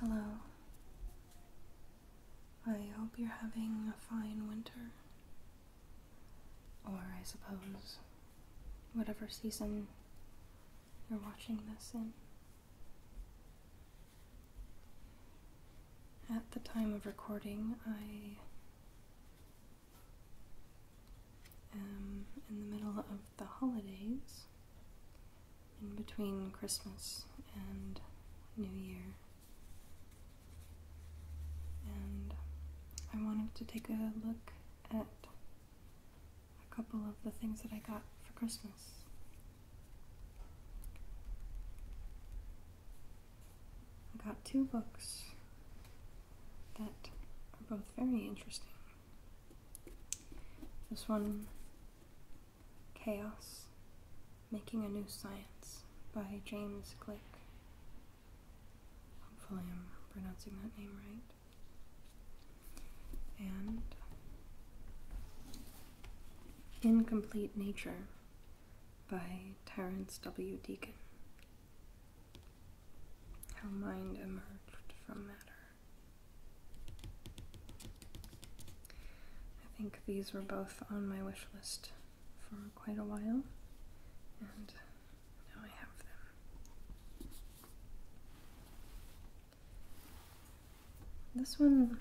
Hello. I hope you're having a fine winter. Or, I suppose, whatever season you're watching this in. At the time of recording, I am in the middle of the holidays in between Christmas and New Year. And I wanted to take a look at a couple of the things that I got for Christmas. I got two books that are both very interesting. This one, Chaos Making a New Science by James Glick. Hopefully, I'm pronouncing that name right. And Incomplete Nature by Terence W. Deacon. How Mind Emerged from Matter. I think these were both on my wish list for quite a while, and now I have them. This one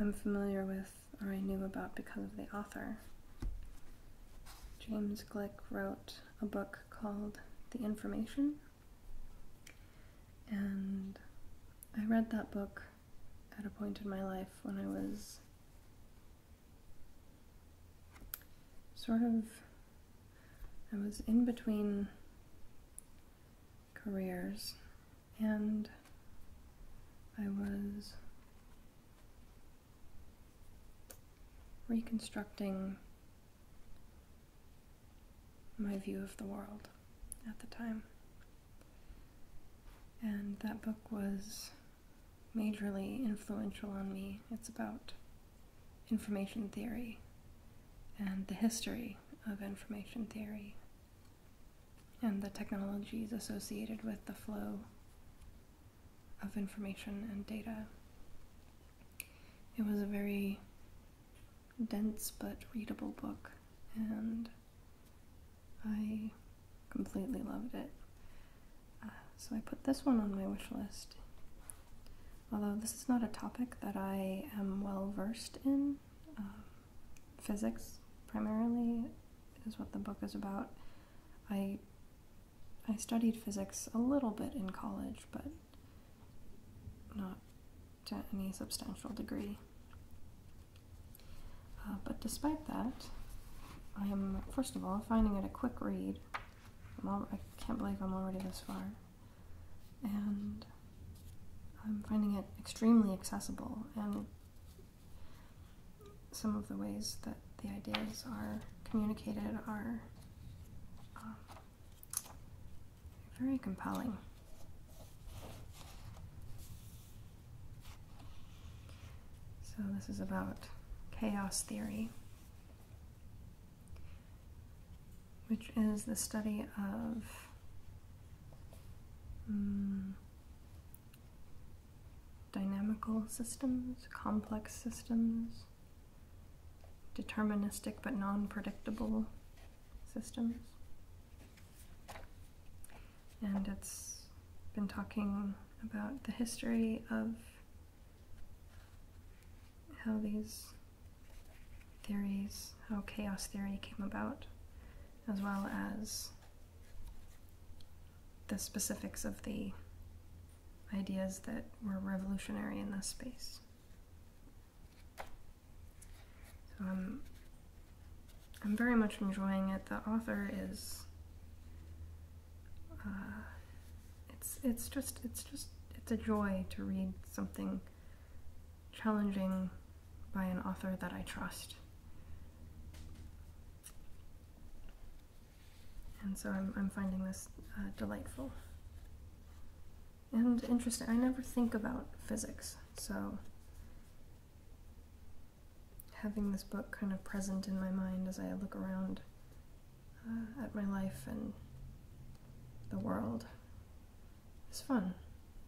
I'm familiar with, or I knew about because of the author. James Glick wrote a book called The Information and I read that book at a point in my life when I was sort of, I was in between careers and I was reconstructing my view of the world at the time. And that book was majorly influential on me. It's about information theory and the history of information theory and the technologies associated with the flow of information and data. It was a very dense but readable book, and I completely loved it. Uh, so I put this one on my wish list. Although this is not a topic that I am well versed in, um, physics primarily is what the book is about. I I studied physics a little bit in college, but not to any substantial degree. Uh, but despite that, I am, first of all, finding it a quick read. All, I can't believe I'm already this far. And I'm finding it extremely accessible, and some of the ways that the ideas are communicated are um, very compelling. So, this is about chaos theory, which is the study of mm, dynamical systems, complex systems, deterministic but non predictable systems. And it's been talking about the history of how these theories, how chaos theory came about, as well as the specifics of the ideas that were revolutionary in this space. So I'm, I'm very much enjoying it. The author is, uh, it's, it's just, it's just, it's a joy to read something challenging by an author that I trust. And so I'm, I'm finding this uh, delightful and interesting. I never think about physics, so having this book kind of present in my mind as I look around uh, at my life and the world is fun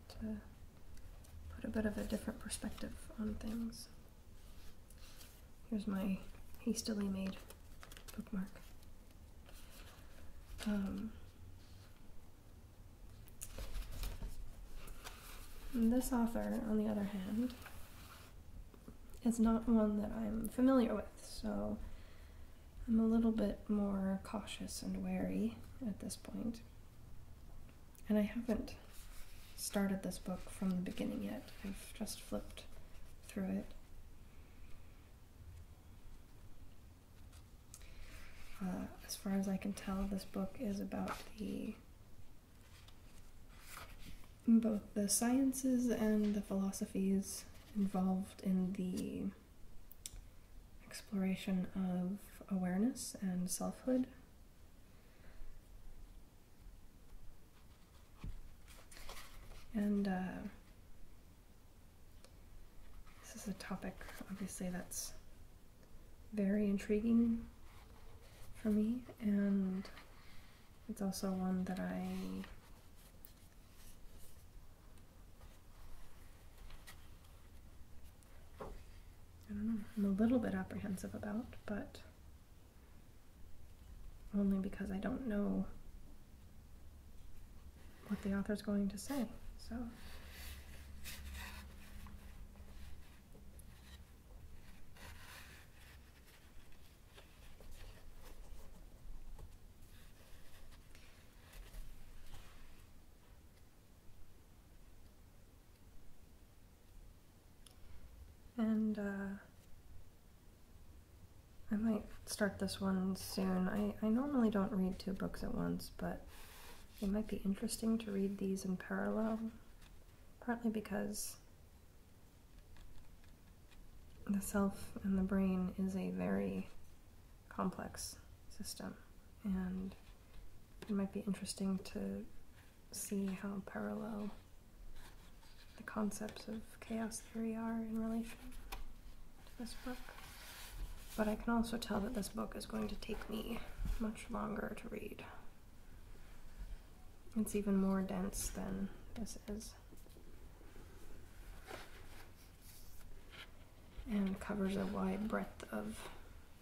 to put a bit of a different perspective on things. Here's my hastily made bookmark. Um, this author, on the other hand, is not one that I'm familiar with, so I'm a little bit more cautious and wary at this point. And I haven't started this book from the beginning yet, I've just flipped through it. Uh, as far as I can tell, this book is about the both the sciences and the philosophies involved in the exploration of awareness and selfhood. And uh, this is a topic, obviously, that's very intriguing for me, and it's also one that I I don't know, I'm a little bit apprehensive about, but only because I don't know what the author's going to say. So. And uh, I might start this one soon. I, I normally don't read two books at once, but it might be interesting to read these in parallel, partly because the self and the brain is a very complex system, and it might be interesting to see how parallel the concepts of Chaos Theory are in relation to this book. But I can also tell that this book is going to take me much longer to read. It's even more dense than this is. And covers a wide breadth of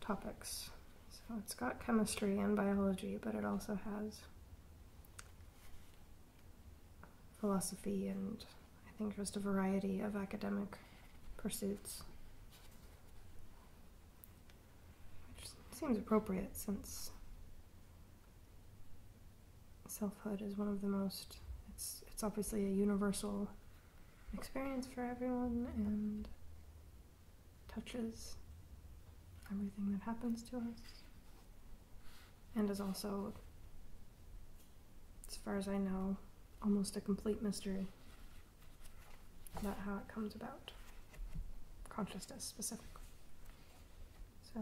topics. So it's got chemistry and biology, but it also has philosophy and I think just a variety of academic pursuits. Which seems appropriate since selfhood is one of the most it's it's obviously a universal experience for everyone and touches everything that happens to us and is also, as far as I know, almost a complete mystery about how it comes about. Consciousness specifically. So.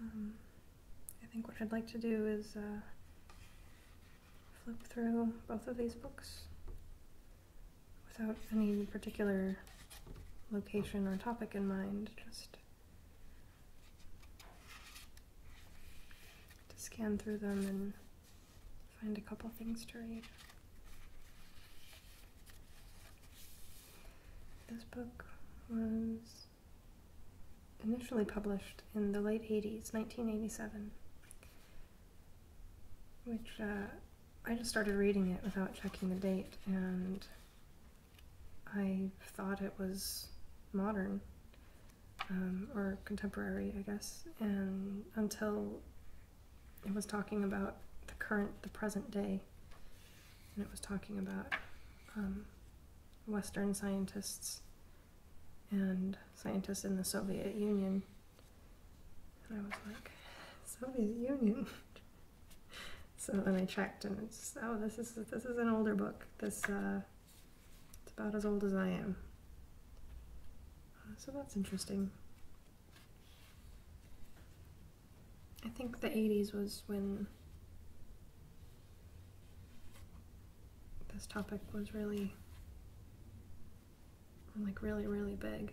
Um, I think what I'd like to do is uh, flip through both of these books without any particular location or topic in mind, just to scan through them and find a couple things to read. This book was initially published in the late 80s, 1987, which uh, I just started reading it without checking the date, and I thought it was modern um, or contemporary, I guess, and until it was talking about the current, the present day, and it was talking about um, Western scientists and scientists in the Soviet Union. And I was like, Soviet Union. so then I checked, and it's oh, this is this is an older book. This uh, it's about as old as I am. So that's interesting. I think the 80s was when this topic was really like really really big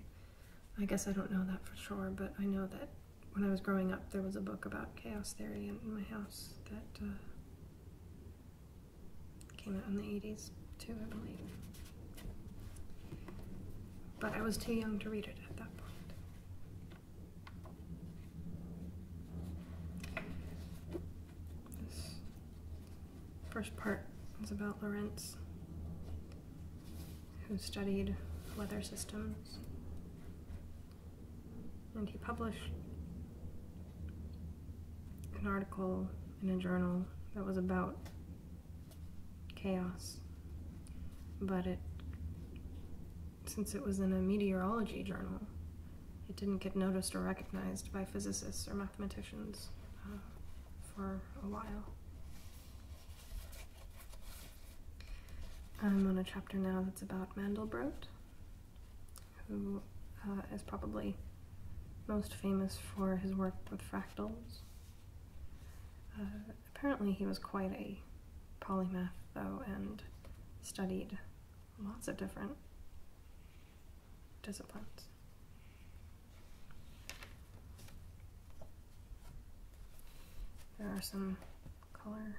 i guess i don't know that for sure but i know that when i was growing up there was a book about chaos theory in my house that uh, came out in the 80s too i believe but i was too young to read it at that point this first part is about Lorentz, who studied weather systems, and he published an article in a journal that was about chaos, but it since it was in a meteorology journal, it didn't get noticed or recognized by physicists or mathematicians uh, for a while. I'm on a chapter now that's about Mandelbrot, who uh, is probably most famous for his work with fractals. Uh, apparently he was quite a polymath, though, and studied lots of different disciplines. There are some color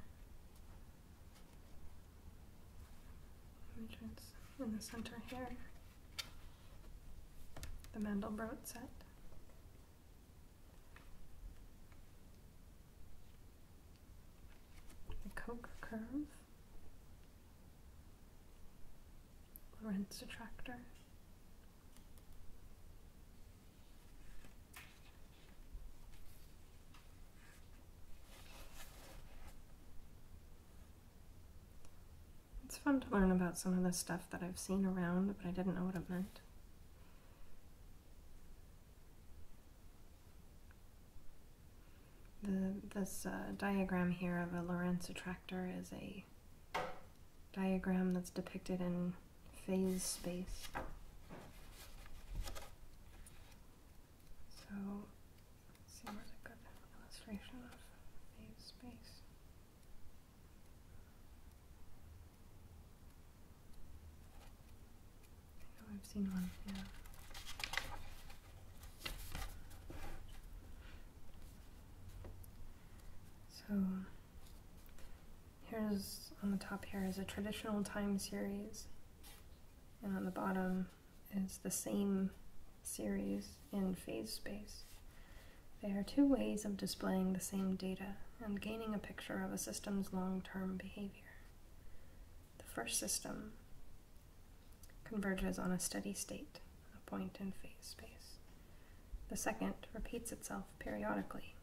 images in the center here. The Mandelbrot set the Koch curve, Lorentz attractor. It's fun to learn about some of the stuff that I've seen around, but I didn't know what it meant this uh, diagram here of a Lorentz attractor is a diagram that's depicted in phase space. So, see where's a good illustration of phase space. Oh, I have seen one, yeah. So here's on the top here is a traditional time series and on the bottom is the same series in phase space. They are two ways of displaying the same data and gaining a picture of a system's long-term behavior. The first system converges on a steady state, a point in phase space. The second repeats itself periodically,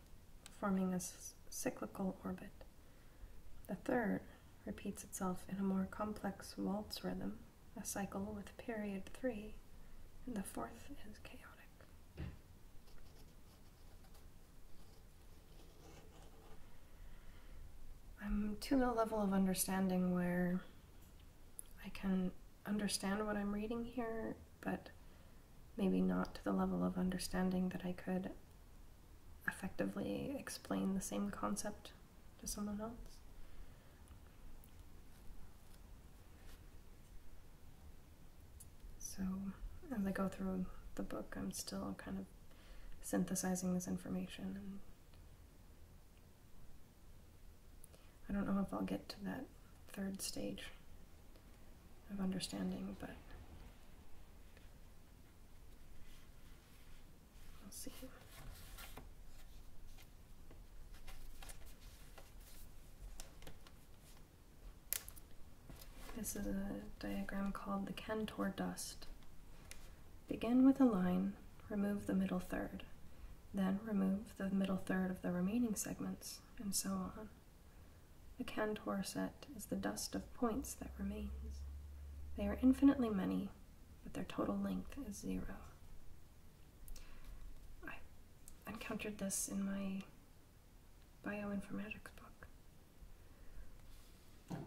forming a cyclical orbit. The third repeats itself in a more complex waltz rhythm, a cycle with period 3, and the fourth is chaotic. I'm to the level of understanding where I can understand what I'm reading here, but maybe not to the level of understanding that I could effectively explain the same concept to someone else. So, as I go through the book, I'm still kind of synthesizing this information. I don't know if I'll get to that third stage of understanding, but we'll see. This is a diagram called the Cantor dust. Begin with a line, remove the middle third, then remove the middle third of the remaining segments, and so on. The Cantor set is the dust of points that remains. They are infinitely many, but their total length is zero. I encountered this in my bioinformatics book.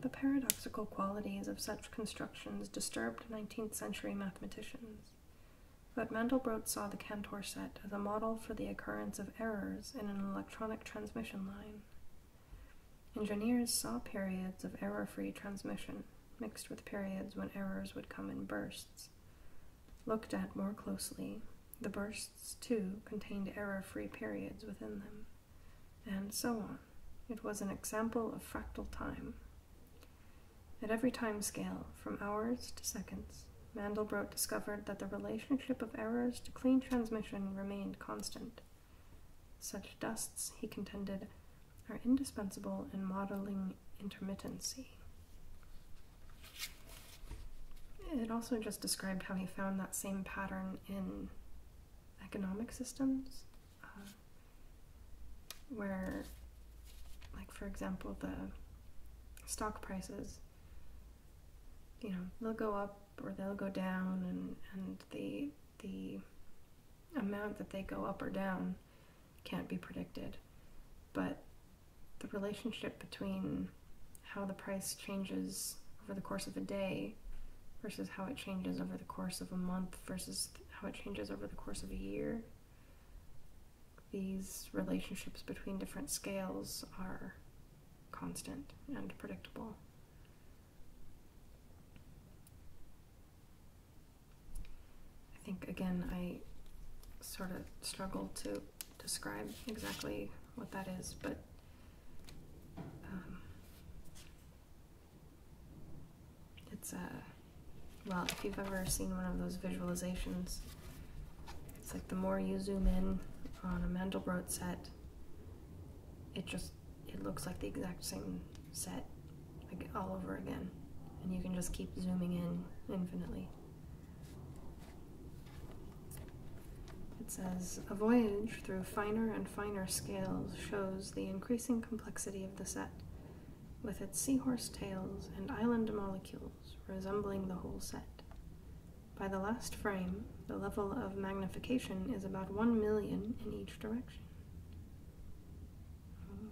The paradoxical qualities of such constructions disturbed 19th century mathematicians, but Mandelbrot saw the Cantor set as a model for the occurrence of errors in an electronic transmission line. Engineers saw periods of error free transmission mixed with periods when errors would come in bursts. Looked at more closely, the bursts too contained error free periods within them and so on. It was an example of fractal time. At every time scale, from hours to seconds, Mandelbrot discovered that the relationship of errors to clean transmission remained constant. Such dusts, he contended, are indispensable in modeling intermittency. It also just described how he found that same pattern in economic systems uh, where, like, for example, the stock prices, you know, they'll go up or they'll go down, and, and the, the amount that they go up or down can't be predicted. But the relationship between how the price changes over the course of a day versus how it changes over the course of a month versus how it changes over the course of a year. These relationships between different scales are constant and predictable. I think, again, I sort of struggle to describe exactly what that is, but um, it's a, uh, well, if you've ever seen one of those visualizations, it's like the more you zoom in on a Mandelbrot set, it just, it looks like the exact same set like all over again. And you can just keep zooming in infinitely. It says A voyage through finer and finer scales shows the increasing complexity of the set, with its seahorse tails and island molecules resembling the whole set. By the last frame, the level of magnification is about 1 million in each direction. Hmm.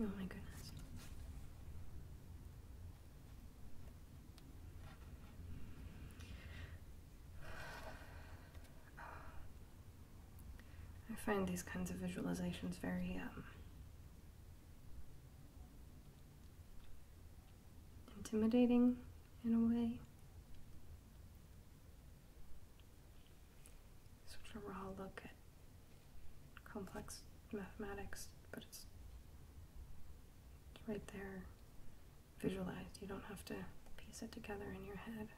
Oh my goodness. I find these kinds of visualizations very um, intimidating in a way. Such a raw look at complex mathematics, but it's, it's right there visualized. You don't have to piece it together in your head.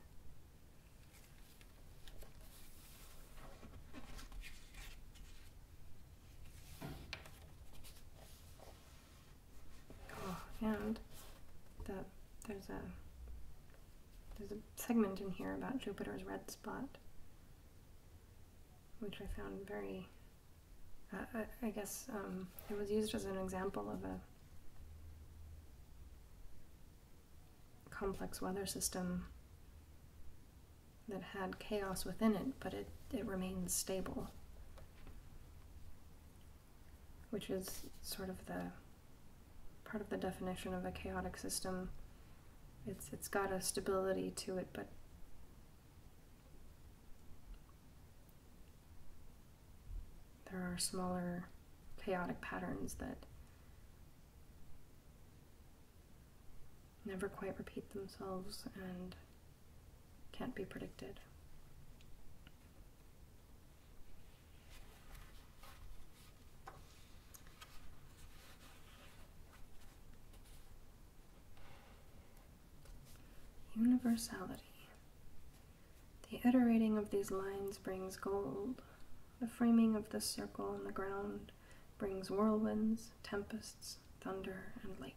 Oh, and there's a there's a segment in here about Jupiter's red spot, which I found very. I, guess um, it was used as an example of a complex weather system that had chaos within it, but it, it remains stable which is sort of the part of the definition of a chaotic system. It's it's got a stability to it, but there are smaller chaotic patterns that never quite repeat themselves and can't be predicted. Universality. The iterating of these lines brings gold. The framing of this circle on the ground brings whirlwinds, tempests, thunder, and lightning.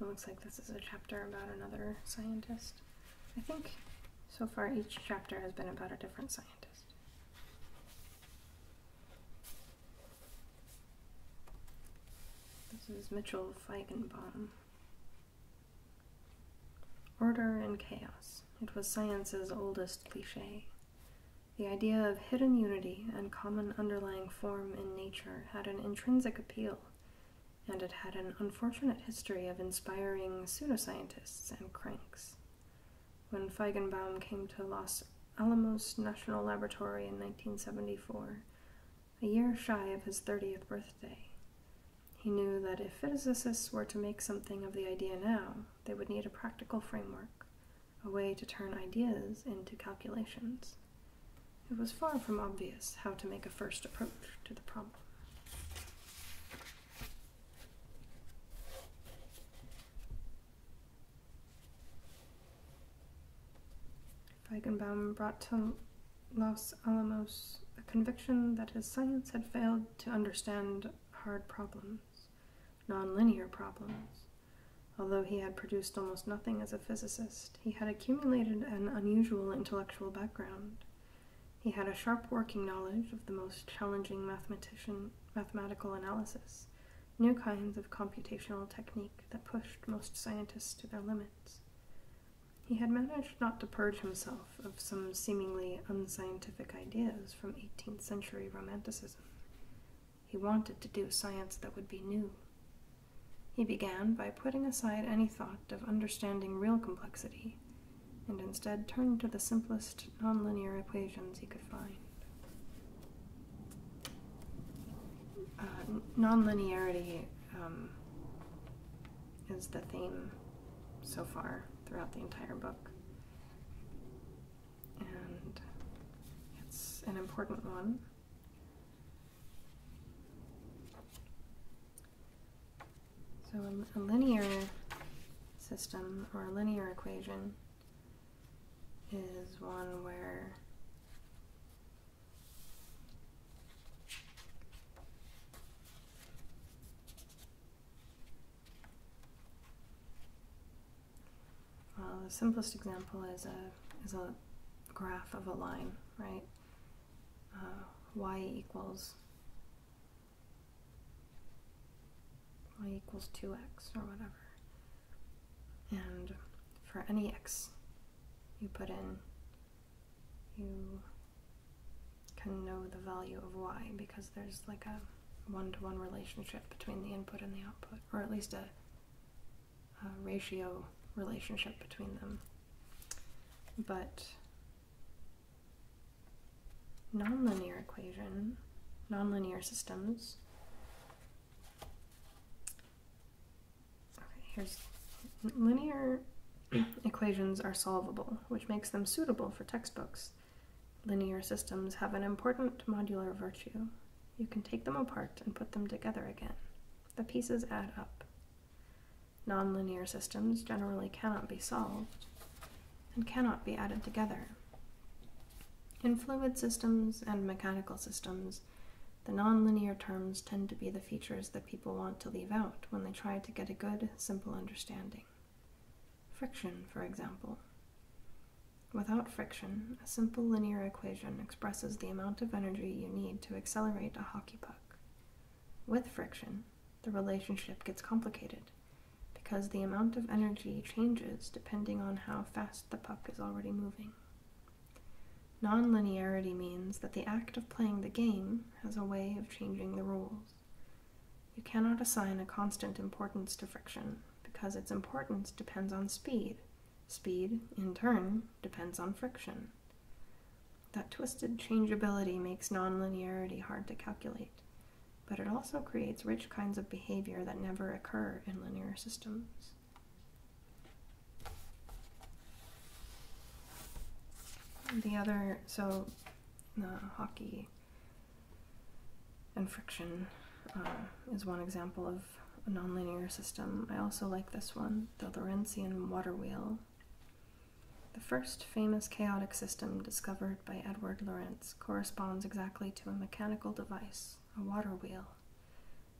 It looks like this is a chapter about another scientist. I think so far each chapter has been about a different scientist. This is Mitchell Feigenbaum. Order and chaos. It was science's oldest cliche. The idea of hidden unity and common underlying form in nature had an intrinsic appeal and it had an unfortunate history of inspiring pseudoscientists and cranks. When Feigenbaum came to Los Alamos National Laboratory in 1974, a year shy of his 30th birthday, he knew that if physicists were to make something of the idea now, they would need a practical framework, a way to turn ideas into calculations. It was far from obvious how to make a first approach to the problem. Feigenbaum brought to Los Alamos a conviction that his science had failed to understand hard problems, nonlinear problems. Although he had produced almost nothing as a physicist, he had accumulated an unusual intellectual background. He had a sharp working knowledge of the most challenging mathematical analysis, new kinds of computational technique that pushed most scientists to their limits. He had managed not to purge himself of some seemingly unscientific ideas from 18th century Romanticism. He wanted to do science that would be new, he began by putting aside any thought of understanding real complexity, and instead turned to the simplest nonlinear equations he could find. Uh, nonlinearity um, is the theme so far throughout the entire book, and it's an important one. So a, linear system or a linear equation is one where well the simplest example is a is a graph of a line right uh, y equals y equals 2x or whatever. And for any x you put in, you can know the value of y because there's like a one-to-one relationship between the input and the output, or at least a ratio relationship between them. But nonlinear equations, nonlinear systems. Okay, here's linear equations are solvable, which makes them suitable for textbooks. Linear systems have an important modular virtue. You can take them apart and put them together again. The pieces add up. Nonlinear systems generally cannot be solved and cannot be added together. In fluid systems and mechanical systems, the nonlinear terms tend to be the features that people want to leave out when they try to get a good, simple understanding. Friction, for example. Without friction, a simple linear equation expresses the amount of energy you need to accelerate a hockey puck. With friction, the relationship gets complicated because the amount of energy changes depending on how fast the puck is already moving. Nonlinearity means that the act of playing the game has a way of changing the rules. You cannot assign a constant importance to friction because its importance depends on speed. Speed, in turn, depends on friction. That twisted changeability makes nonlinearity hard to calculate, but it also creates rich kinds of behavior that never occur in linear systems. The other, so hockey and friction uh, is one example of a nonlinear system. I also like this one, the Lorentzian water wheel. The first famous chaotic system discovered by Edward Lorentz corresponds exactly to a mechanical device, a water wheel.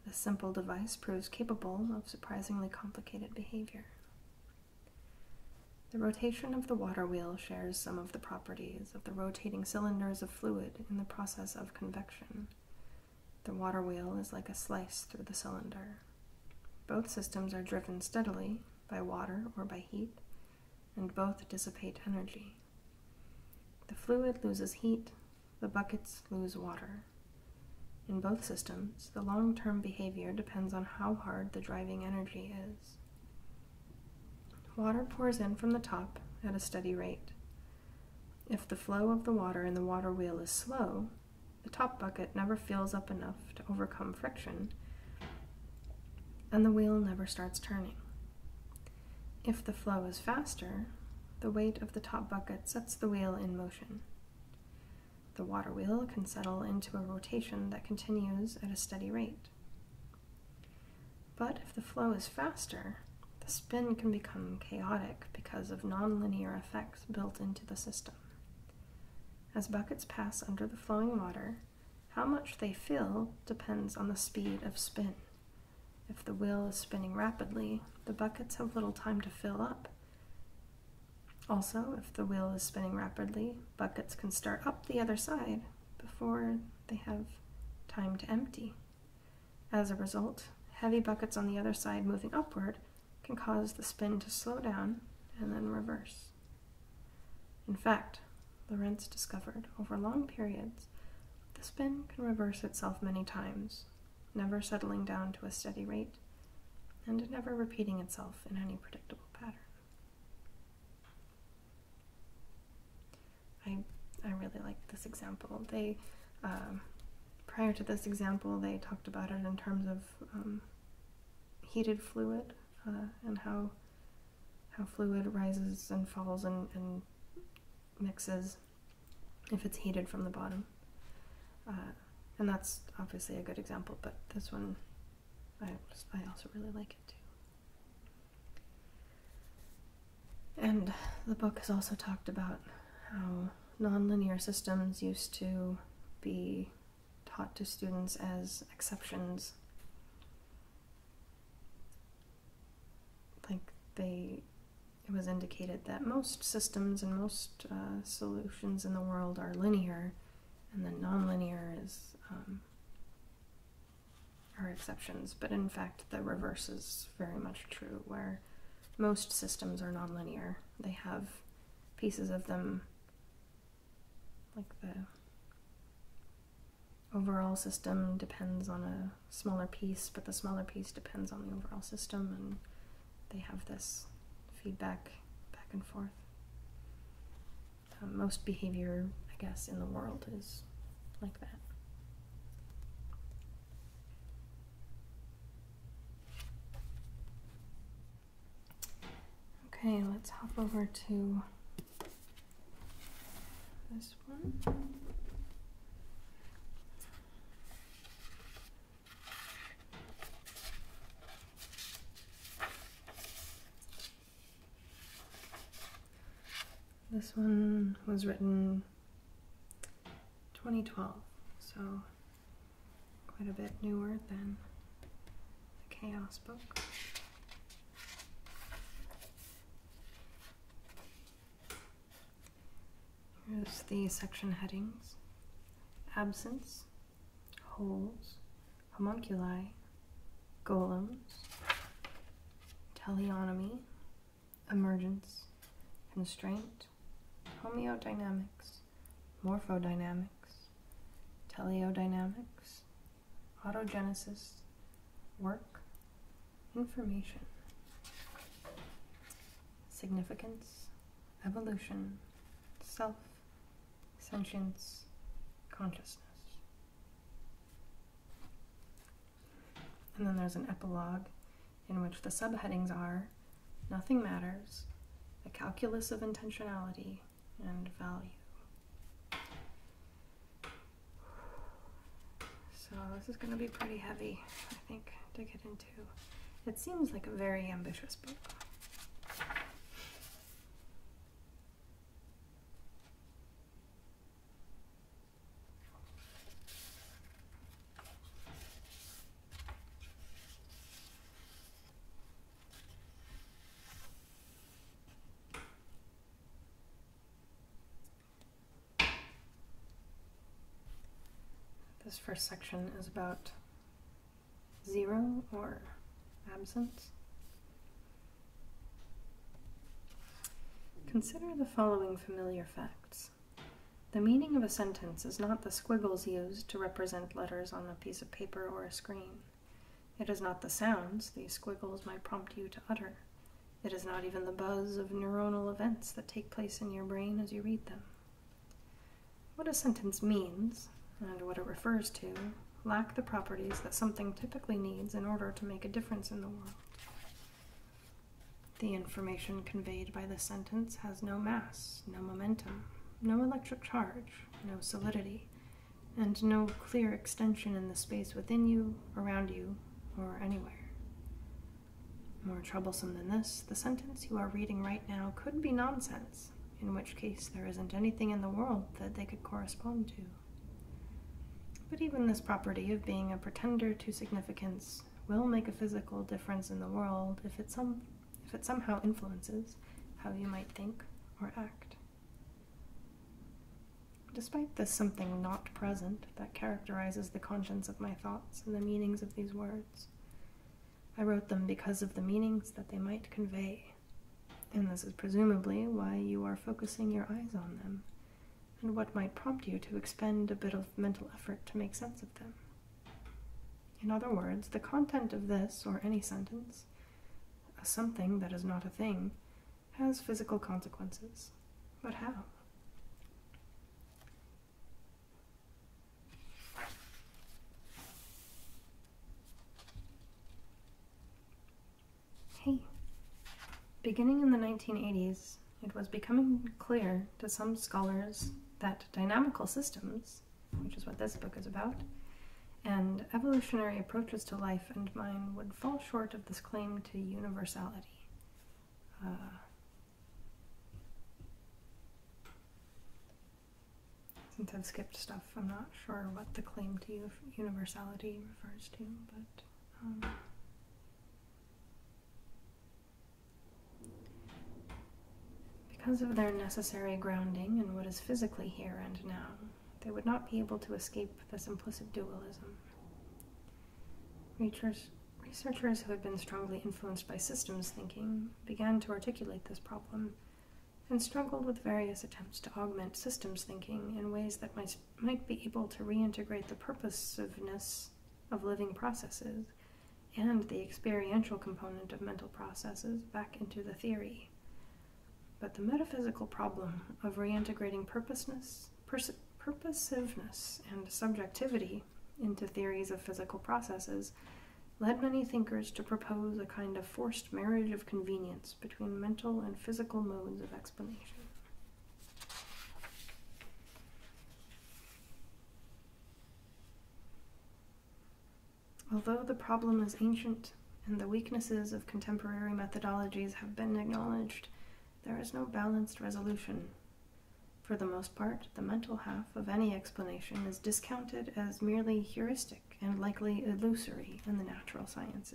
This simple device proves capable of surprisingly complicated behavior. The rotation of the water wheel shares some of the properties of the rotating cylinders of fluid in the process of convection. The water wheel is like a slice through the cylinder. Both systems are driven steadily by water or by heat, and both dissipate energy. The fluid loses heat, the buckets lose water. In both systems, the long term behavior depends on how hard the driving energy is. Water pours in from the top at a steady rate. If the flow of the water in the water wheel is slow, the top bucket never fills up enough to overcome friction, and the wheel never starts turning. If the flow is faster, the weight of the top bucket sets the wheel in motion. The water wheel can settle into a rotation that continues at a steady rate. But if the flow is faster, the spin can become chaotic because of nonlinear effects built into the system. As buckets pass under the flowing water, how much they fill depends on the speed of spin. If the wheel is spinning rapidly, the buckets have little time to fill up. Also, if the wheel is spinning rapidly, buckets can start up the other side before they have time to empty. As a result, heavy buckets on the other side moving upward can cause the spin to slow down and then reverse. In fact, Lorentz discovered over long periods the spin can reverse itself many times, never settling down to a steady rate and never repeating itself in any predictable pattern. I, I really like this example. They, um, prior to this example, they talked about it in terms of um, heated fluid uh, and how how fluid rises and falls and, mixes if it's heated from the bottom. Uh, and that's obviously a good example, but this one I, I also really like it too. And the book has also talked about how nonlinear systems used to be taught to students as exceptions. Like they, it was indicated that most systems and most uh, solutions in the world are linear, and then nonlinear is um, are exceptions. But in fact, the reverse is very much true, where most systems are nonlinear. They have pieces of them, like the overall system depends on a smaller piece, but the smaller piece depends on the overall system, and they have this feedback back and forth. Um, most behavior, I guess, in the world is like that. Okay, let's hop over to this one. This one was written 2012, so quite a bit newer than the Chaos book. Here's the section headings absence, holes, homunculi, golems, teleonomy, emergence, constraint, homeodynamics, morphodynamics, teleodynamics, autogenesis, work, information, significance, evolution, self, sentience, consciousness. And then there's an epilogue in which the subheadings are Nothing matters. The calculus of intentionality and value. So this is going to be pretty heavy, I think, to get into. It seems like a very ambitious book. This first section is about zero or absence. Consider the following familiar facts. The meaning of a sentence is not the squiggles used to represent letters on the a piece of paper or a screen. It is not the sounds these squiggles might prompt you to utter. It is not even the buzz of neuronal events that take place in your brain as you read them. What a sentence means, and what it refers to, lack the properties that something typically needs in order to make a difference in the world. The information conveyed by the sentence has no mass, no momentum, no electric charge, no solidity, and no clear extension in the space within you, around you, or anywhere. More troublesome than this, the sentence you are reading right now could be nonsense, in which case there isn't anything in the world that they could correspond to. But even this property of being a pretender to significance will make a physical difference in the world if it's some if it somehow influences how you might think or act. Despite this something not present that characterizes the conscience of my thoughts and the meanings of these words, I wrote them because of the meanings that they might convey, and this is presumably why you are focusing your eyes on them, and what might prompt you to expend a bit of mental effort to make sense of them. In other words, the content of this or any sentence, a something that is not a thing, has physical consequences. But how? Hey. Beginning in the 1980s, it was becoming clear to some scholars that dynamical systems, which is what this book is about, and evolutionary approaches to life and mine would fall short of this claim to universality. Uh, since I've skipped stuff, I'm not sure what the claim to universality refers to, but. Um, because of their necessary grounding in what is physically here and now, they would not be able to escape this implicit dualism. Researchers who had been strongly influenced by systems thinking began to articulate this problem and struggled with various attempts to augment systems thinking in ways that might, might be able to reintegrate the purposiveness of living processes and the experiential component of mental processes back into the theory. But the metaphysical problem of reintegrating purposeness, purposiveness, and subjectivity into theories of physical processes led many thinkers to propose a kind of forced marriage of convenience between mental and physical modes of explanation. Although the problem is ancient and the weaknesses of contemporary methodologies have been acknowledged, there is no balanced resolution. For the most part, the mental half of any explanation is discounted as merely heuristic and likely illusory in the natural sciences.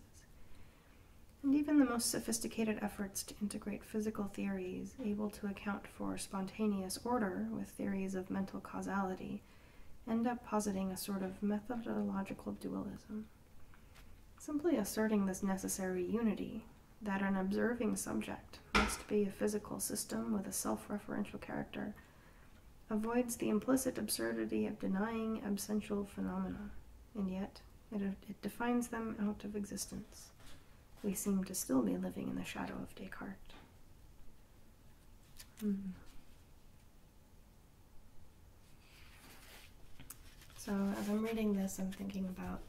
And even the most sophisticated efforts to integrate physical theories able to account for spontaneous order with theories of mental causality end up positing a sort of methodological dualism, simply asserting this necessary unity that an observing subject must be a physical system with a self referential character. Avoids the implicit absurdity of denying absential phenomena, and yet it, it defines them out of existence. We seem to still be living in the shadow of Descartes. Mm-hmm. So, as I'm reading this, I'm thinking about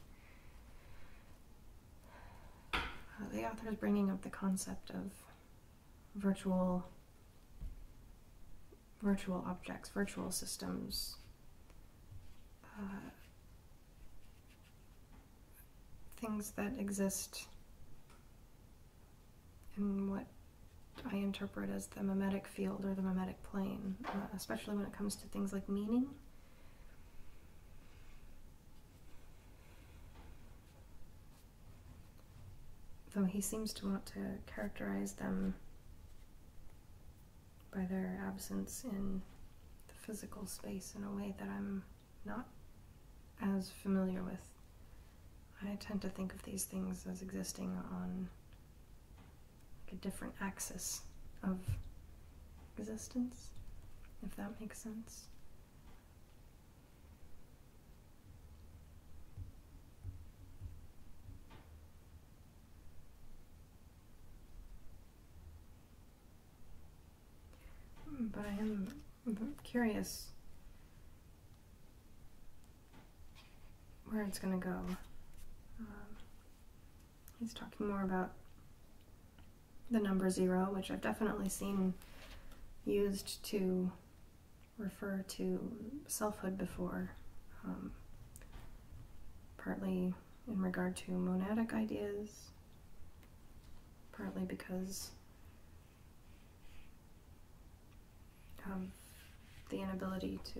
the author is bringing up the concept of virtual virtual objects, virtual systems, uh, things that exist in what I interpret as the mimetic field or the mimetic plane, uh, especially when it comes to things like meaning. Though he seems to want to characterize them by their absence in the physical space in a way that I'm not as familiar with. I tend to think of these things as existing on a different axis of existence, if that makes sense. Hmm, but I am curious where it's going to go. Um, he's talking more about the number zero, which I've definitely seen used to refer to selfhood before, um, partly in regard to monadic ideas, partly because the inability to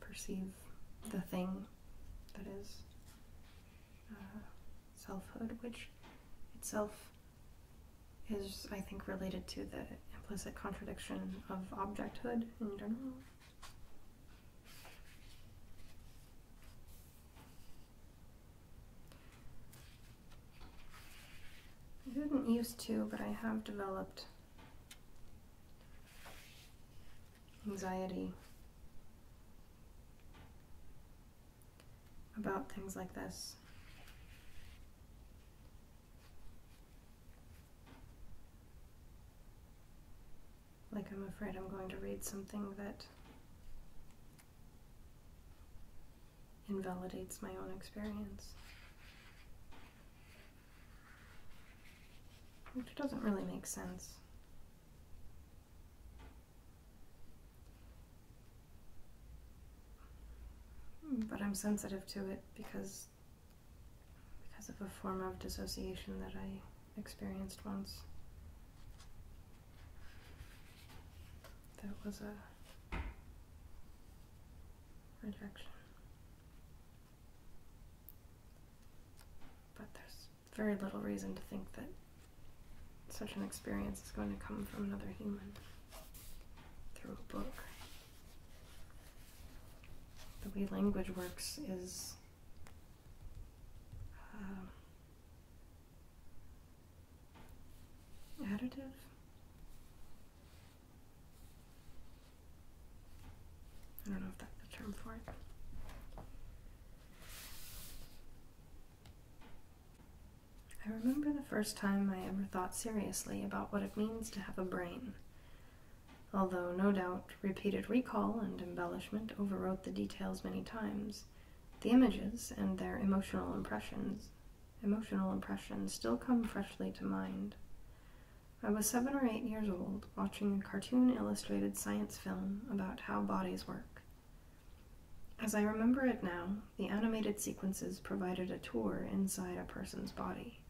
perceive the thing that is uh, selfhood, which itself is, I think, related to the implicit contradiction of objecthood in general. I didn't used to, but I have developed anxiety about things like this. Like, I'm afraid I'm going to read something that invalidates my own experience. Which doesn't really make sense. But I'm sensitive to it because because of a form of dissociation that I experienced once. That was a rejection. But there's very little reason to think that such an experience is going to come from another human through a book. The way language works is. Um, additive. I don't know if that's the term for it. I remember the first time I ever thought seriously about what it means to have a brain. Although, no doubt, repeated recall and embellishment overwrote the details many times, the images and their emotional impressions emotional impressions still come freshly to mind. I was seven or eight years old watching a cartoon illustrated science film about how bodies work. As I remember it now, the animated sequences provided a tour inside a person's body.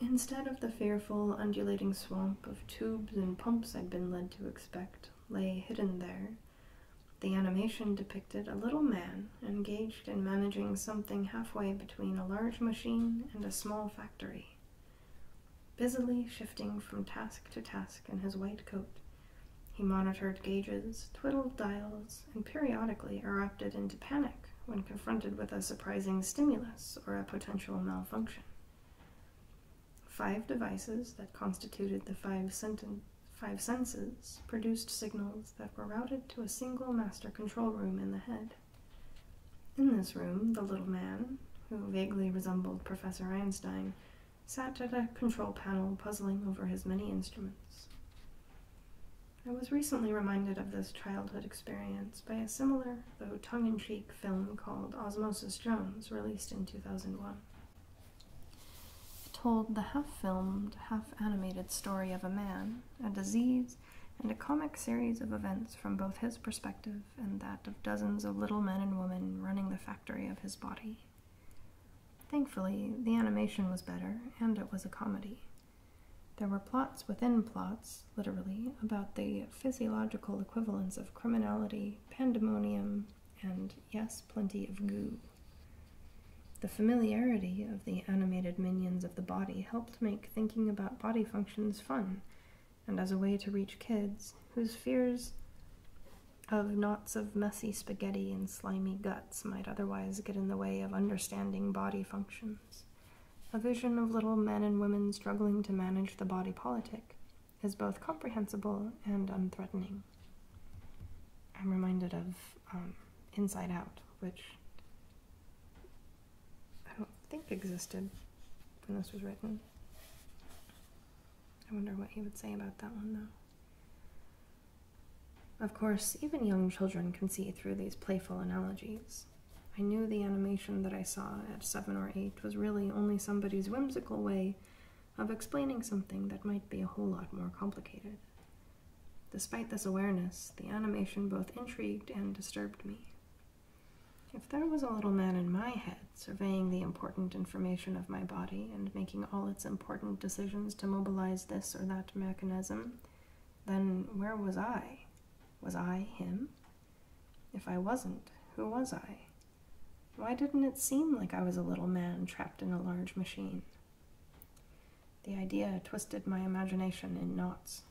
Instead of the fearful, undulating swamp of tubes and pumps I'd been led to expect, lay hidden there. The animation depicted a little man engaged in managing something halfway between a large machine and a small factory, busily shifting from task to task in his white coat. He monitored gauges, twiddled dials, and periodically erupted into panic when confronted with a surprising stimulus or a potential malfunction. Five devices that constituted the five, senses produced signals that were routed to a single master control room in the head. In this room, the little man, who vaguely resembled Professor Einstein, sat at a control panel puzzling over his many instruments. I was recently reminded of this childhood experience by a similar, though tongue in cheek, film called Osmosis Jones, released in 2001. It told the half filmed, half animated story of a man, a disease, and a comic series of events from both his perspective and that of dozens of little men and women running the factory of his body. Thankfully, the animation was better, and it was a comedy. There were plots within plots, literally, about the physiological equivalents of criminality, pandemonium, and yes, plenty of goo. The familiarity of the animated minions of the body helped make thinking about body functions fun, and as a way to reach kids whose fears of knots of messy spaghetti and slimy guts might otherwise get in the way of understanding body functions. A vision of little men and women struggling to manage the body politic is both comprehensible and unthreatening. I'm reminded of um, Inside Out, which I don't think existed when this was written. I wonder what he would say about that one, though. Of course, even young children can see through these playful analogies. I knew the animation that I saw at seven or eight was really only somebody's whimsical way of explaining something that might be a whole lot more complicated. Despite this awareness, the animation both intrigued and disturbed me. If there was a little man in my head surveying the important information of my body and making all its important decisions to mobilize this or that mechanism, then where was I? Was I him? If I wasn't, who was I? Why didn't it seem like I was a little man trapped in a large machine? The idea twisted my imagination in knots.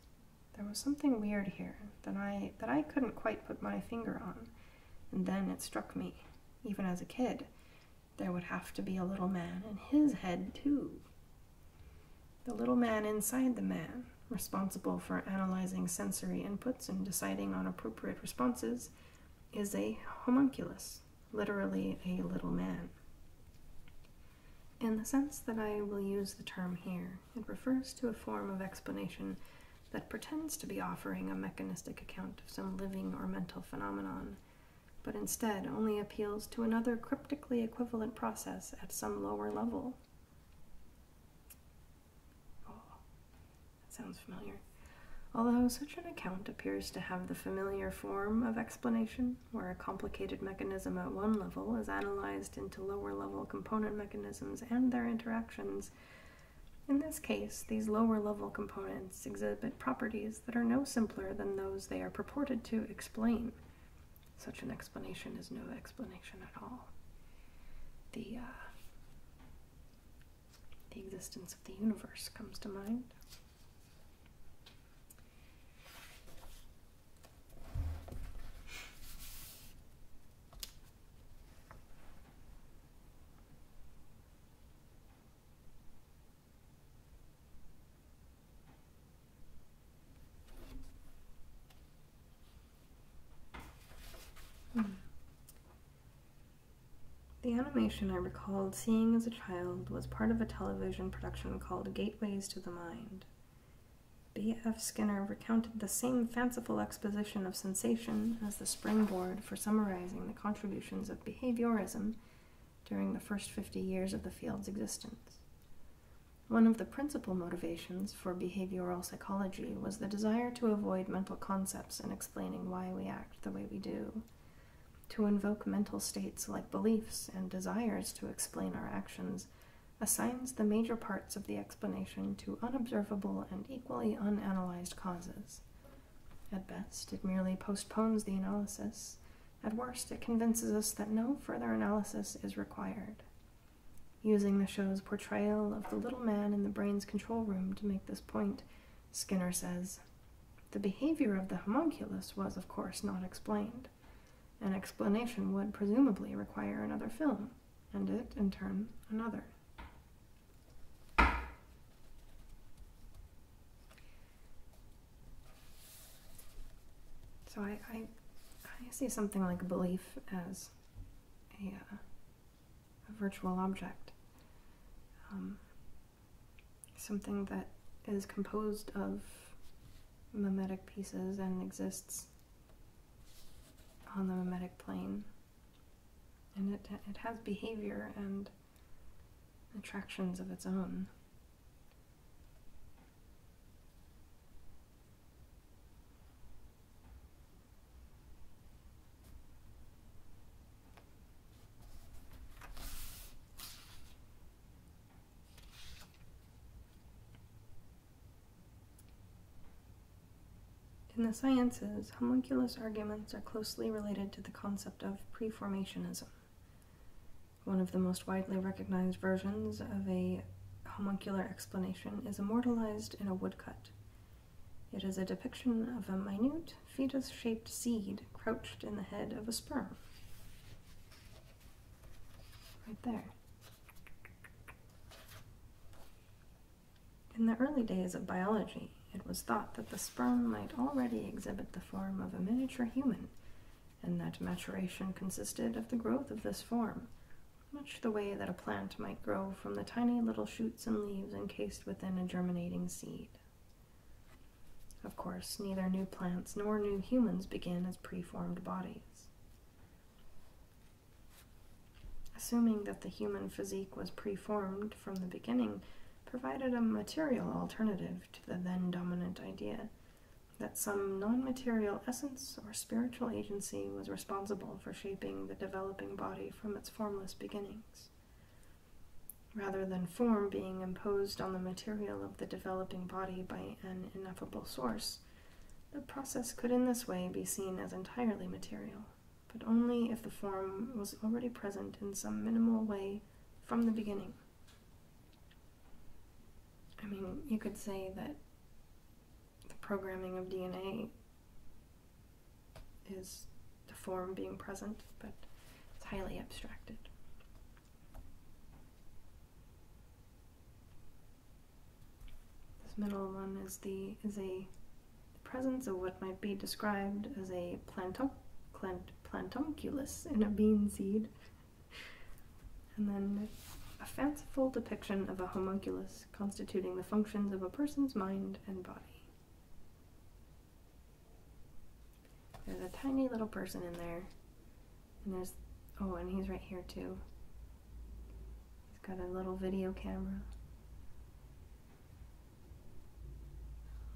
There was something weird here that I that I couldn't quite put my finger on, and then it struck me, even as a kid, there would have to be a little man in his head too. The little man inside the man, responsible for analyzing sensory inputs notes and deciding on appropriate responses is a homunculus, literally a little man. In the sense that I will use the term here, it refers to a form of explanation that pretends to be offering a mechanistic account of some living or mental phenomenon, but instead only appeals to another cryptically equivalent process at some lower level. That sounds familiar. Although such an account appears to have the familiar form of explanation, where a complicated mechanism at one level is analyzed into lower level component mechanisms and their interactions, in this case, these lower level components exhibit properties that are no simpler than those they are purported to explain. Such an explanation is no explanation at all. The uh, the existence of the universe comes to mind. Hmm. The animation I recalled seeing as a child was part of a television production called Gateways to the Mind. B.F. Skinner recounted the same fanciful exposition of sensation as the springboard for summarizing the contributions of behaviorism during the first 50 years of the field's existence. One of the principal motivations for behavioral psychology was the desire to avoid mental concepts concepts and explaining why we act the way we do, to invoke mental states like beliefs and desires to explain our actions. Assigns the major parts of the explanation to unobservable and equally unanalyzed causes. At best, it merely postpones the analysis. At worst, it convinces us that no further analysis is required. Using the show's portrayal of the little man in the brain's control room to make this point, Skinner says. The behavior of the homunculus was, of course, not explained. An explanation would presumably require another film, and it, in turn, another. So I, I, see something like belief as a uh, a virtual object, um, something that is composed of mimetic pieces and exists on the mimetic plane. And it, it has behavior and attractions of its own. In the sciences, homunculus arguments are closely related to the concept of preformationism. One of the most widely recognized versions of a homuncular explanation is immortalized in a woodcut. It is a depiction of a minute fetus shaped seed crouched in the head of a sperm. Right there. In the early days of biology, it was thought that the sperm might already exhibit the form of a miniature human, and that maturation consisted of the growth of this form, much the way that a plant might grow from the tiny little shoots and leaves encased within a germinating seed. Of course, neither new plants nor new humans begin as preformed bodies. Assuming that the human physique was preformed from the beginning provided a material alternative to the then dominant idea that some non material essence or spiritual agency was responsible for shaping the developing body from its formless beginnings, rather than form being imposed on the material of the developing body by an ineffable source. The process could in this way be seen as entirely material, but only if the form was already present in some minimal way from the beginning. I mean, you could say that the programming of DNA is the form being present, but it's highly abstracted. This middle one is the is a presence of what might be described as a plantum, in a bean seed, and then a fanciful depiction of a homunculus constituting the functions of a person's mind and body. There's a tiny little person in there. And there's, oh, and he's right here too. He's got a little video camera.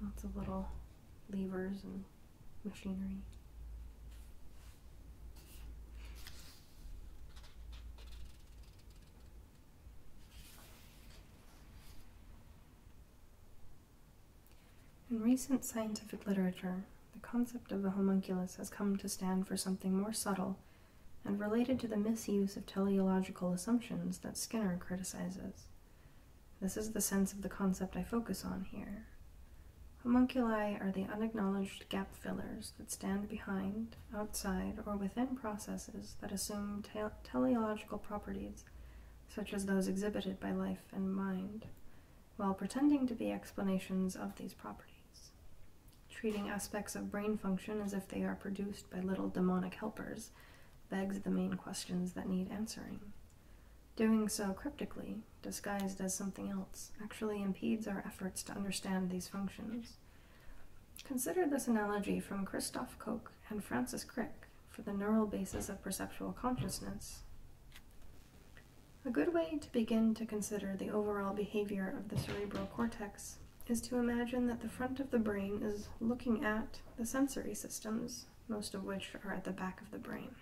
Lots of little levers and machinery. In recent scientific literature, the concept of the homunculus has come to stand for something more subtle and related to the misuse of teleological assumptions that Skinner criticizes. This is the sense of the concept I focus on here. Homunculi are the unacknowledged gap fillers that stand behind outside or within processes that assume teleological properties, such as those exhibited by life and mind, while pretending to be explanations of these properties. Treating aspects of brain function as if they are produced by little demonic helpers begs the main questions that need answering. Doing so cryptically, disguised as something else, actually impedes our efforts to understand these functions. Consider this analogy from Christoph Koch and Francis Crick for the neural basis of perceptual consciousness. A good way to begin to consider the overall behavior of the cerebral cortex is to imagine that the front of the brain is looking at the sensory systems, most of which are at the back of the brain.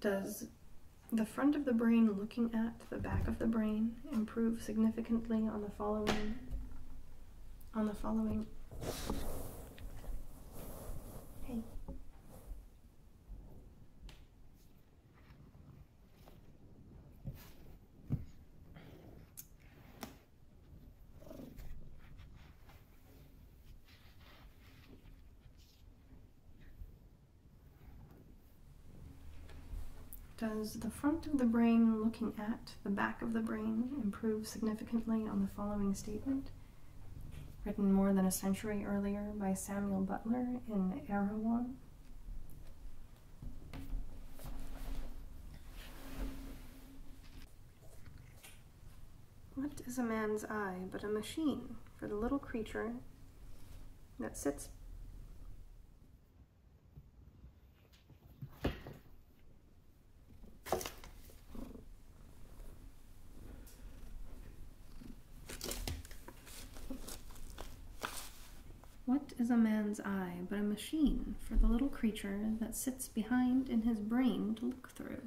Does the front of the brain looking at the back of the brain improve significantly on the following on the following does the front of the brain looking at the back of the brain improve significantly on the following statement? Written more than a century earlier by Samuel Butler in Erewhon. What is a man's eye but a machine for the little creature that sits what is a man's eye but a machine for the little creature that sits behind in his brain to look through?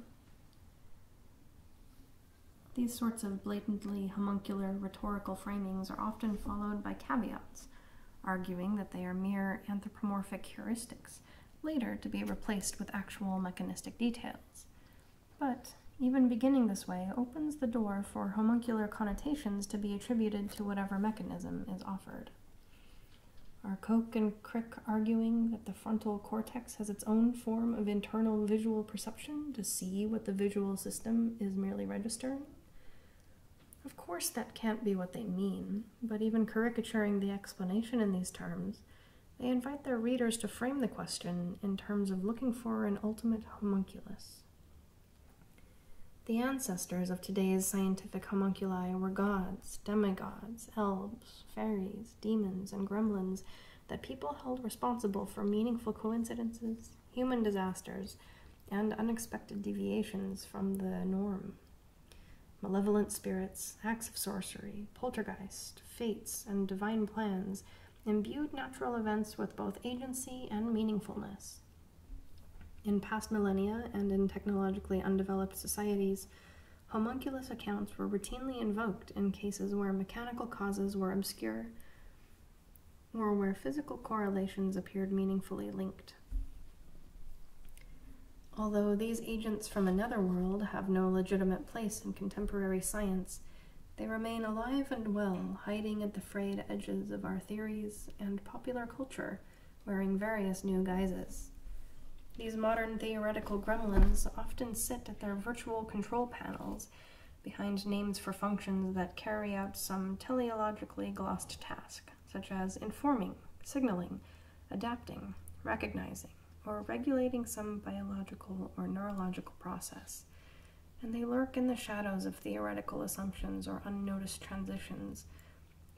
These sorts of blatantly homuncular rhetorical framings are often followed by caveats arguing that they are mere anthropomorphic heuristics, later to be replaced with actual mechanistic details. But even beginning this way opens the door for homuncular connotations to be attributed to whatever mechanism is offered. Are Coke and Crick arguing that the frontal cortex has its own form of internal visual perception to see what the visual system is merely registering? Of course, that can't be what they mean, but even caricaturing the explanation in these terms, they invite their readers to frame the question in terms of looking for an ultimate homunculus. The ancestors of today's scientific homunculi were gods, demigods, elves, fairies, demons, and gremlins that people held responsible for meaningful coincidences human disasters, and unexpected deviations from the norm. Malevolent spirits, acts of sorcery, poltergeist, fates, and divine plans imbued natural events with both agency and meaningfulness. In past millennia and in technologically undeveloped societies, homunculus accounts were routinely invoked in cases where mechanical causes were obscure or where physical correlations appeared meaningfully linked. Although these agents from another world have no legitimate place in contemporary science, they remain alive and well, hiding at the frayed edges of our theories and popular culture, wearing various new guises. These modern theoretical gremlins often sit at their virtual control panels behind names for functions that carry out some teleologically glossed task such as informing, signaling, adapting, recognizing, or regulating some biological or neurological process, and they lurk in the shadows of theoretical assumptions or unnoticed transitions,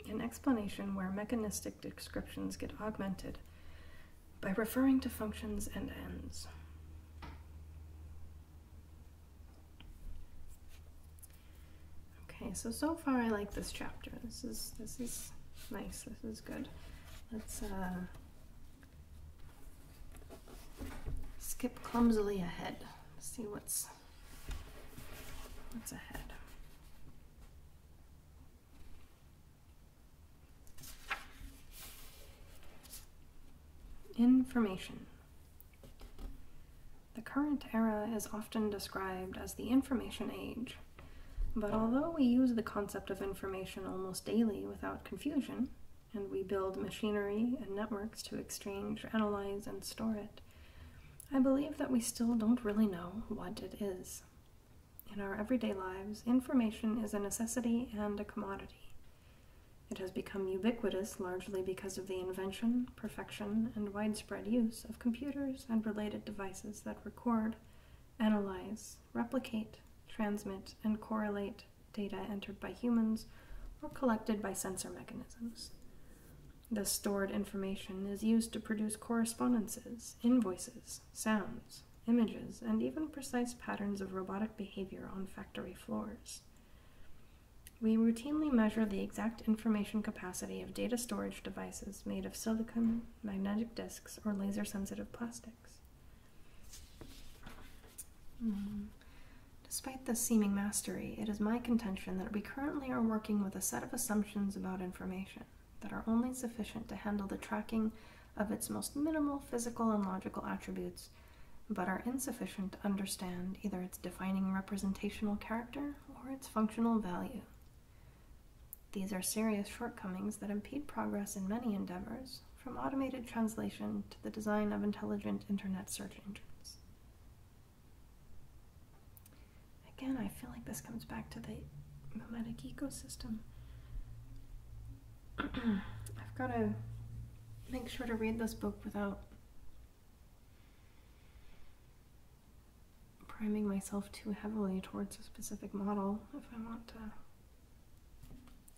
in explanation where mechanistic descriptions get augmented by referring to functions and ends. Okay, so so far I like this chapter. This is this is nice. This is good. Let's uh, skip clumsily ahead. see what's what's ahead. Information. The current era is often described as the information age. But although we use the concept of information almost daily without confusion, and we build machinery and networks to exchange, analyze, and store it, I believe that we still don't really know what it is. In our everyday lives, information is a necessity and a commodity. It has become ubiquitous largely because of the invention, perfection, and widespread use of computers and related devices that record, analyze, replicate, transmit, and correlate data entered by humans or collected by sensor mechanisms. The stored information is used to produce correspondences, invoices, sounds, images, and even precise patterns of robotic behavior on factory floors. We routinely measure the exact information capacity of data storage devices made of silicon, magnetic disks, or laser sensitive plastics. Hmm. Despite this seeming mastery, it is my contention that we currently are working with a set of assumptions about information that are only sufficient to handle the tracking of its most minimal physical and logical attributes, but are insufficient to understand either defining representational character or its functional value. These are serious shortcomings that impede progress in many endeavors, from automated translation to the design of intelligent internet search engines. Again, I feel like this comes back to the mimetic ecosystem. I've got to make sure to read this book without priming myself too heavily towards a specific model if I want to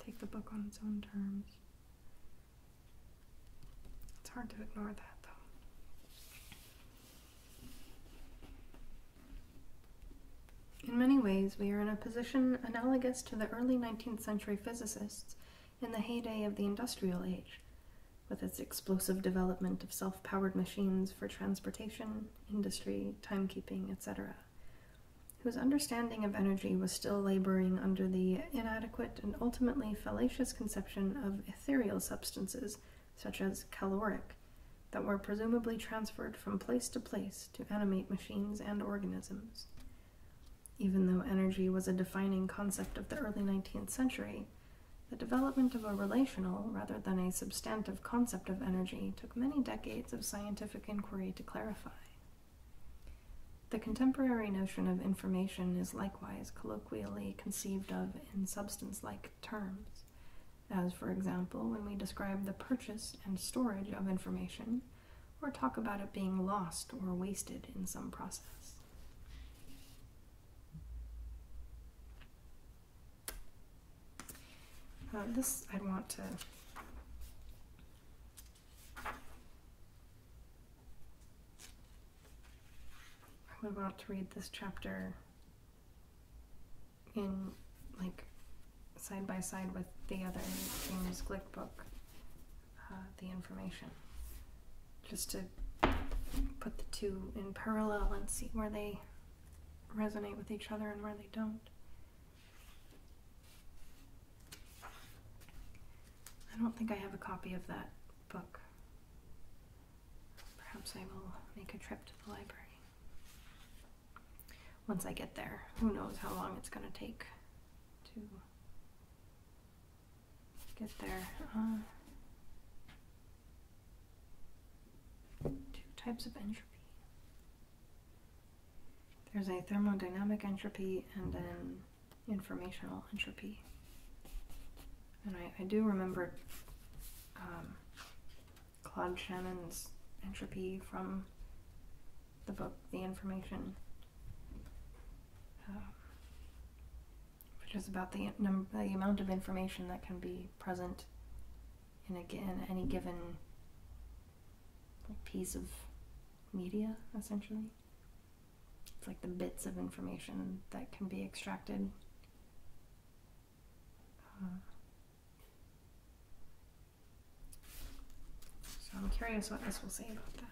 take the book on its own terms. It's hard to ignore that. Though, In many ways, we are in a position analogous to the early 19th century physicists in the heyday of the industrial age, with its explosive development of self powered machines for transportation, industry, timekeeping, etc., whose understanding of energy was still laboring under the inadequate and ultimately fallacious conception of ethereal substances, such as caloric, that were presumably transferred from place to place to animate machines and organisms. Even though energy was a defining concept of the early 19th century, the development of a relational rather than a substantive concept of energy took many decades of scientific inquiry to clarify. The contemporary notion of information is likewise colloquially conceived of in substance like terms, as, for example, when we describe the purchase and storage of information or talk about it being lost or wasted in some process. Uh, this I want to I would want to read this chapter in like side by side with the other James Glick book uh, the information just to put the two in parallel and see where they resonate with each other and where they don't. I don't think I have a copy of that book. Perhaps I will make a trip to the library. Once I get there, who knows how long it's going to take to get there. Uh, two types of entropy. There's a thermodynamic entropy and an informational entropy. And I, do remember um, Claude Shannon's entropy from the book The Information. Um, which is about the, num- the amount of information that can be present in, a, any given piece of media, essentially. It's like the bits of information that can be extracted. Uh, so I'm curious what this will say about that.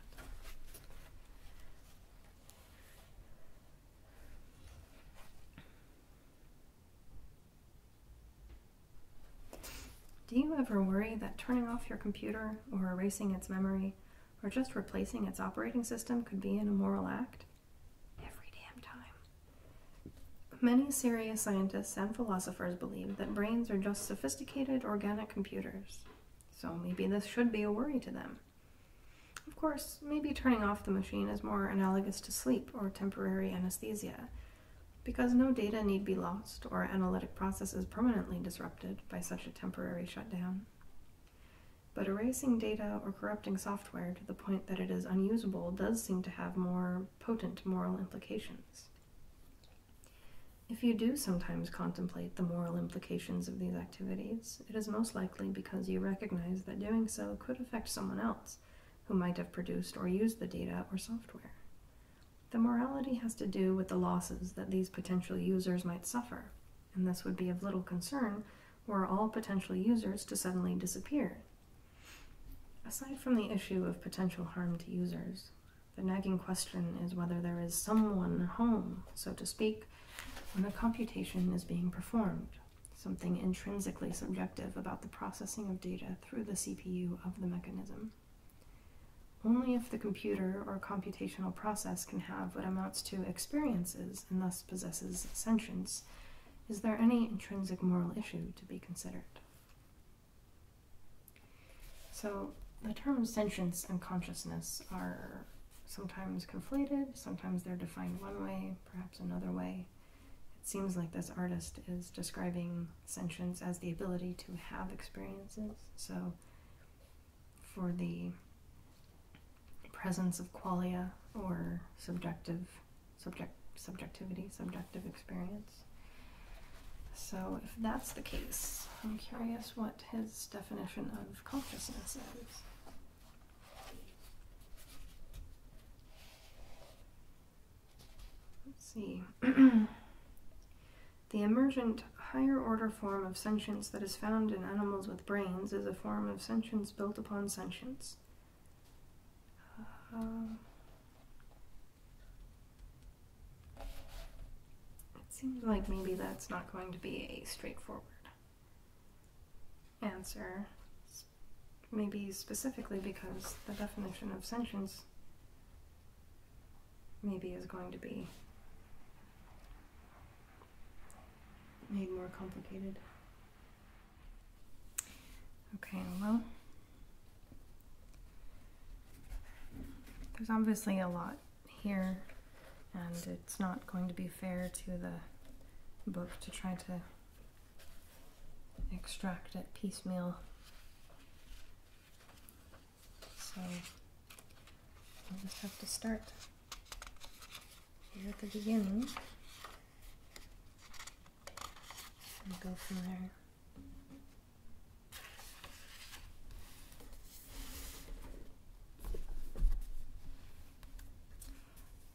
Do you ever worry that turning off your computer or erasing its memory or just replacing its operating system could be an immoral act? Every damn time. Many serious scientists and philosophers believe that brains are just sophisticated organic computers, so maybe this should be a worry to them. Of course, maybe turning off the machine is more analogous to sleep or temporary anesthesia, because no data need be lost or analytic processes permanently disrupted by such a temporary shutdown. But erasing data or corrupting software to the point that it is unusable does seem to have more potent moral implications. If you do sometimes contemplate the moral implications of these activities, it is most likely because you recognize that doing so could affect someone else who might have produced or used the data or software. The morality has to do with the losses that these potential users might suffer, and this would be of little concern were all potential users to suddenly disappear. Aside from the issue of potential harm to users, the nagging question is whether there is someone home, so to speak, when a computation is being performed, something intrinsically subjective about the processing of data through the CPU of the mechanism. Only if the computer or computational process can have what amounts to experiences and thus possesses sentience is there any intrinsic moral issue to be considered. So, the terms sentience and consciousness are sometimes conflated, sometimes they're defined one way, perhaps another way. It seems like this artist is describing sentience as the ability to have experiences. So, for the presence of qualia or subjective, subject, subjectivity, subjective experience. So, if that's the case, I'm curious what his definition of consciousness is. Let's see. the emergent higher order form of sentience that is found in animals with brains is a form of sentience built upon sentience. Uh, it seems like maybe that's not going to be a straightforward answer, maybe specifically because the definition of sentience maybe is going to be made more complicated. Okay, well, there's obviously a lot here and it's not going to be fair to the book to try to extract it piecemeal. So I'll just have to start here at the beginning and go from there.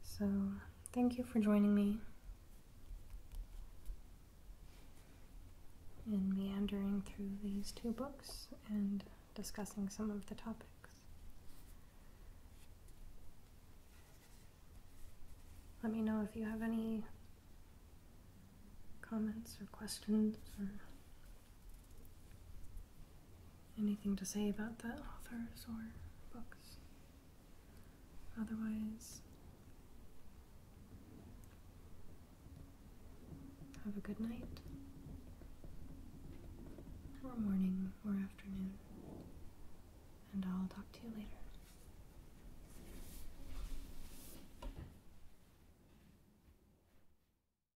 So, thank you for joining me in meandering through these two books and discussing some of the topics. Let me know if you have any comments or questions or anything to say about the authors or books. Otherwise, have a good night, or morning, or afternoon, and I'll talk to you later.